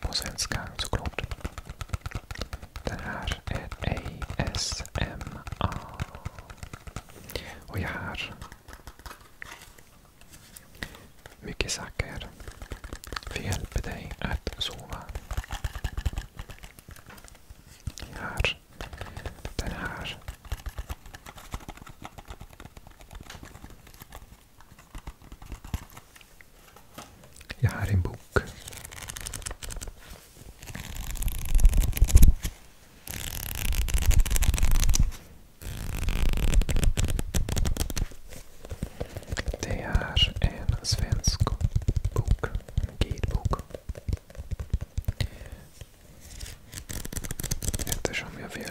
På svenska såklart. Det här är ASMA. Och jag har mycket saker för hjälper dig att sova. Jag har den här jag har en bok. Det är en svensk bok, en guidebok. Eftersom jag vill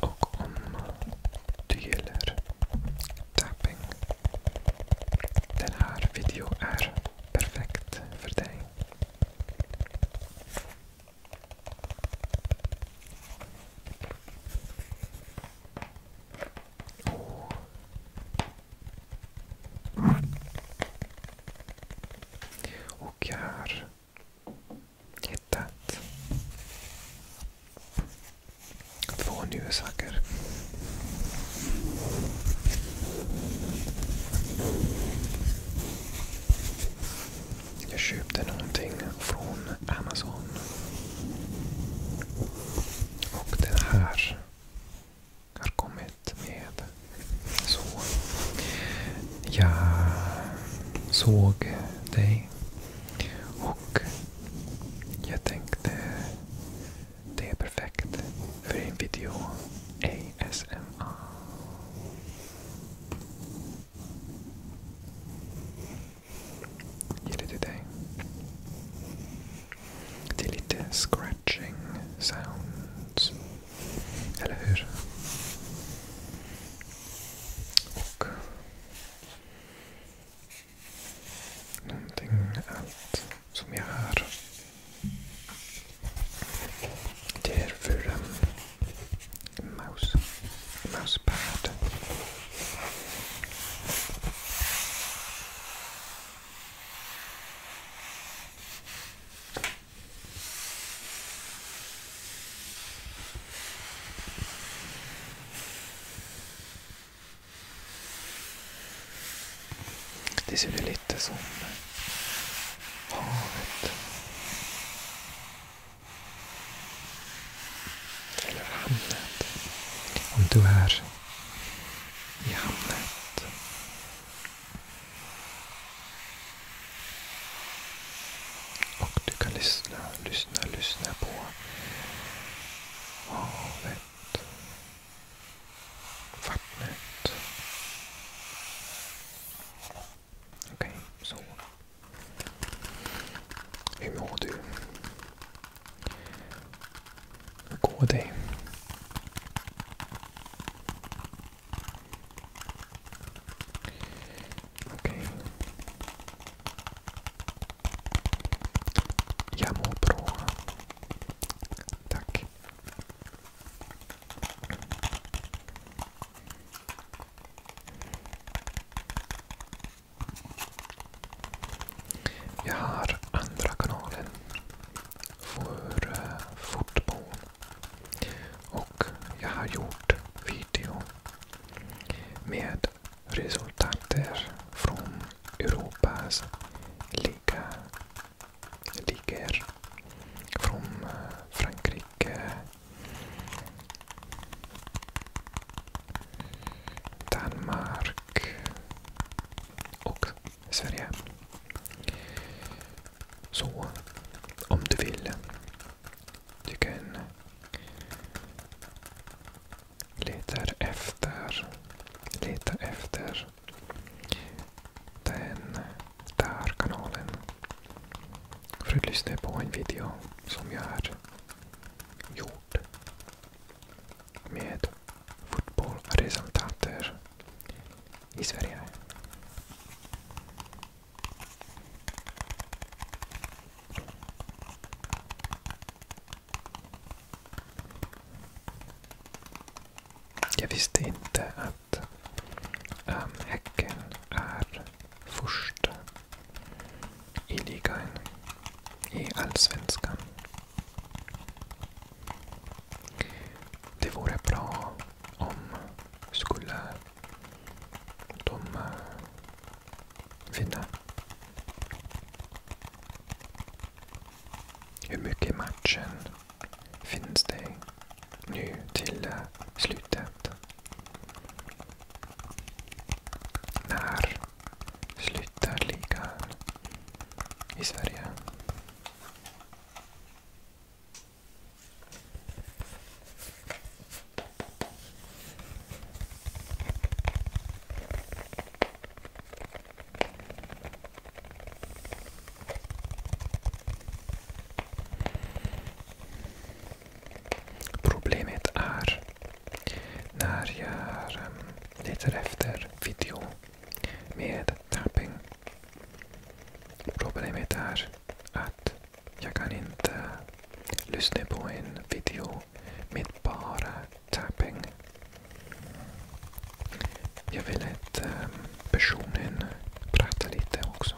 Ook om dueller, tapping en haar video er perfect verdij. Oh. Ook haar hittat två njursaker. Jag köpte någonting från Amazon. Och den här har kommit med så. Jag såg dig. Och jag tänkte det är perfekt för en video ASMR. Ger det dig. Det är lite scratching sounds. Eller hur? Och någonting allt som jag har. Det är för um, mouse, mousepad. Det ser ju lite som havet. Eller hamnet. Om du är i hamnet och du kan lyssna, lyssna, lyssna på havet, vattnet. Okej, okay, så. Hur mår du? Hur går det? Jag mår bra. Tack. Jag har andra kanalen för uh, fotboll. Och jag har gjort video med resultater från Europas liga, ligor. Från eh, Frankrike, Danmark och Sverige. Så, om du vill. Du kan leta efter, leta efter den där kanalen för att lyssna på en video som jag har gjort med fotbollsresultater i Sverige. Jag visste inte att um, Häcken är först i ligan i Allsvenskan. Det vore bra om skulle de vinna. Eh, hur mycket i matchen finns det nu till eh, slutet? När slutar ligan i Sverige? Probleem met är Naar jag letar efter ehm, video meer. tapping. Problemet är att jag kan inte lyssna på en video med bara tapping. Jag vill att um, personen pratar lite också.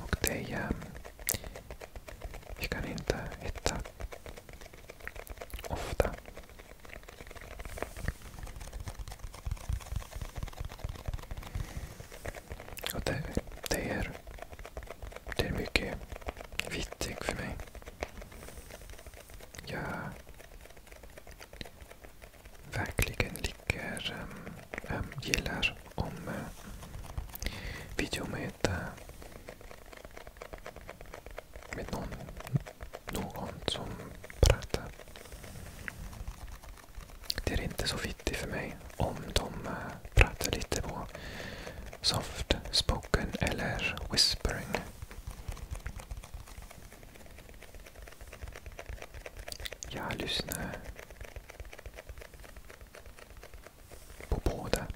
Och det... Um, jag kan inte hitta ofta. Och det, det, är, det är mycket viktigt för mig. Jag verkligen ligger, um, um, gillar om uh, eh, video med, uh, med någon, någon som pratar. Det är inte så viktigt för mig om de eh, pratar lite på soft spoken eller whispering. Jag lyssnar på båda.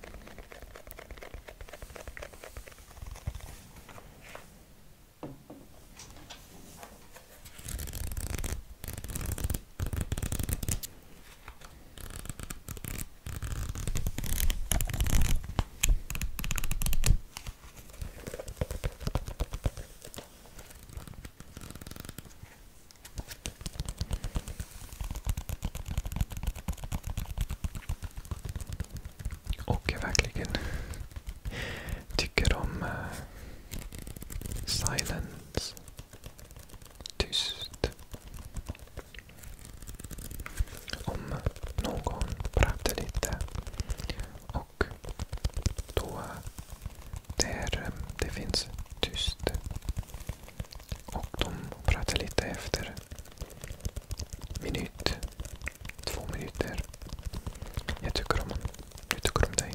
Och verkligen Tycker om uh, silence. Tyst. Om någon pratar lite. Och då där eh, det finns tyst. Och de pratar lite efter minut Två minuter. Jag tycker om honom. Jag tycker om dig.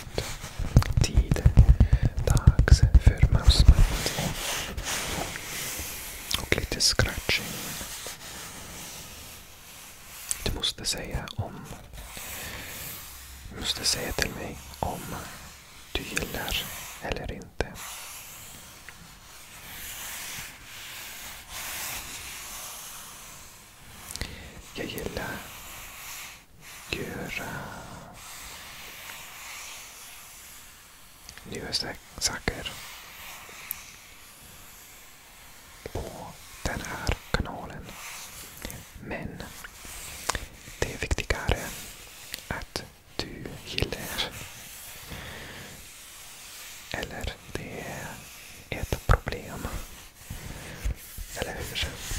tid dags för mousemat. Och lite scratching. Du måste säga om... Du måste säga till mig om du gillar eller inte. Jag gillar Göra... Nya saker. På den här kanalen. Men det är viktigare att du gillar. Eller det är ett problem. Eller hur?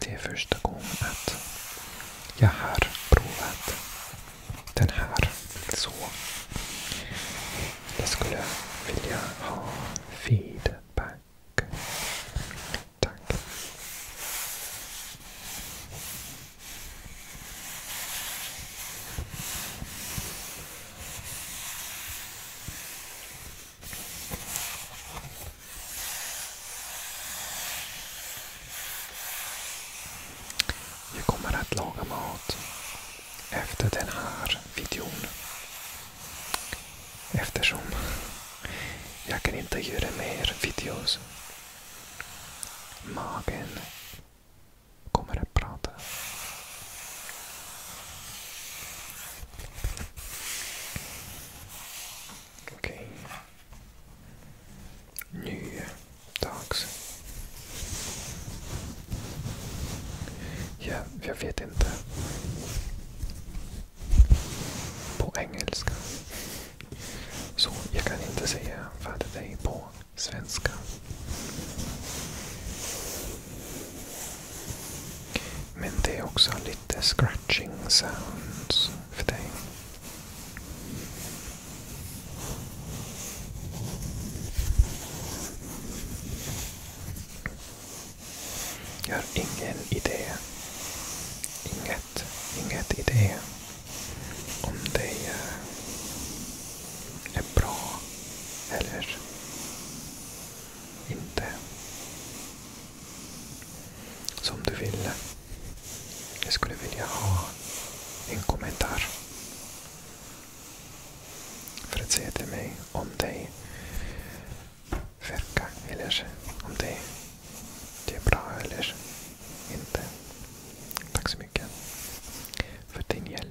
Det är första gången att jag har provat den här. Så jag skulle vilja ha feedback. Tack. Jag kommer att laga mat efter den här videon. Eftersom jag kan inte göra mer videos. Magen kommer att prata. Okej. Okay. Ja, jag vet inte. På engelska. Så jag kan inte säga vad det är på svenska. Men det är också lite scratching sounds för dig. Jag har ingen idé. Inget, inget idé om det är är bra eller inte. Som du vill. Jag skulle vilja ha en kommentar. För att säga till mig om dig verkar eller om dig det är bra eller inte. Tack så mycket för din hjälp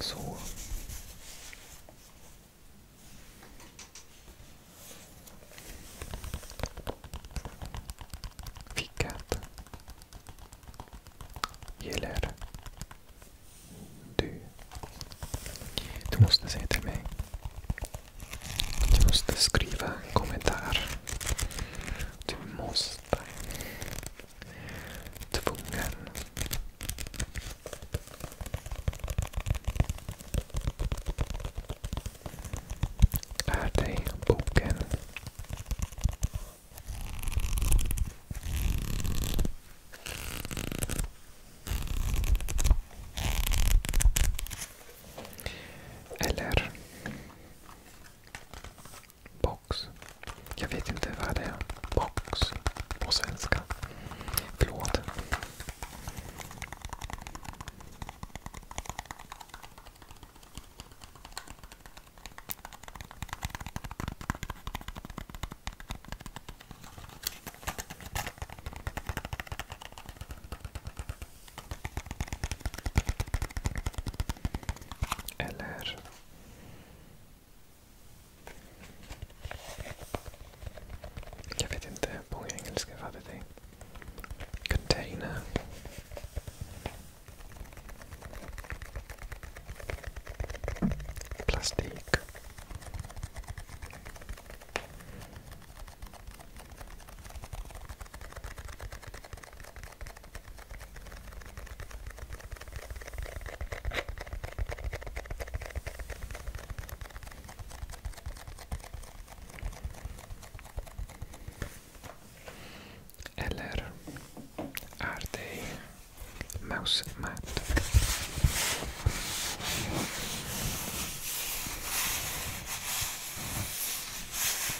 Så. Vilket gillar du? Du måste säga till mig du måste skriva en kommentar. Du måste. Tvungen. Är dig boken. Eller box. Jag vet inte vad det är. Box på svenska. Förlåt. Eller... Jag vet inte på engelska vad det är. Container. Plastik. Eller är det mousemat?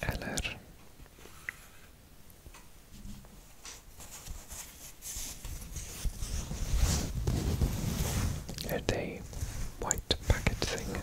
Eller a day white packet thing.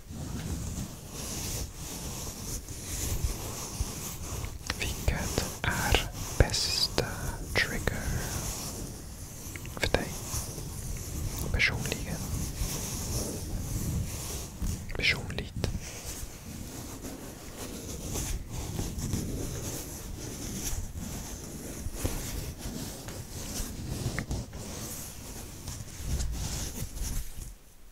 Vilket är bästa trigger för dig? Personligen? Personligt?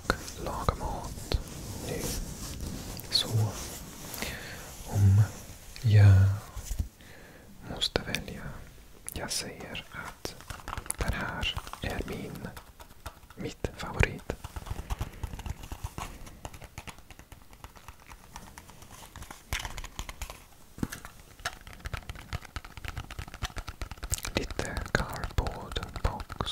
och laga mat nu. Så om jag måste välja. Jag säger att den här är min, mitt favorit. Lite cardboard box.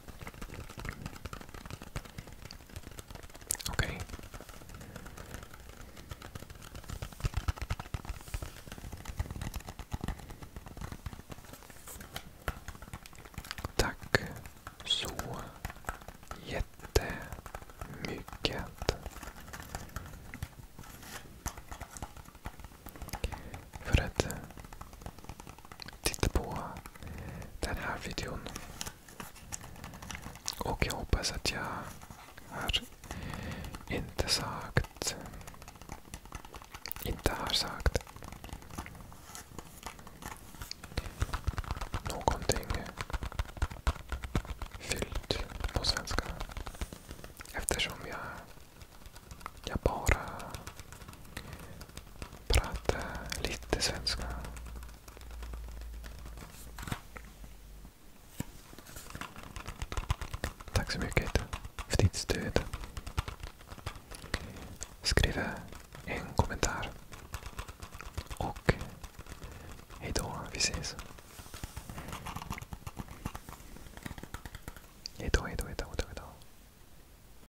Okej. Okay. Tack så jättemycket. För ett titta på den här videon. Och jag hoppas att jag har inte sagt... Inte har sagt någonting fyllt på svenska. Eftersom jag, jag bara prata lite svenska. Tack så mycket för ditt stöd. Skriv en kommentar. Och hejdå, vi ses. Hejdå, hejdå, hejdå, hejdå.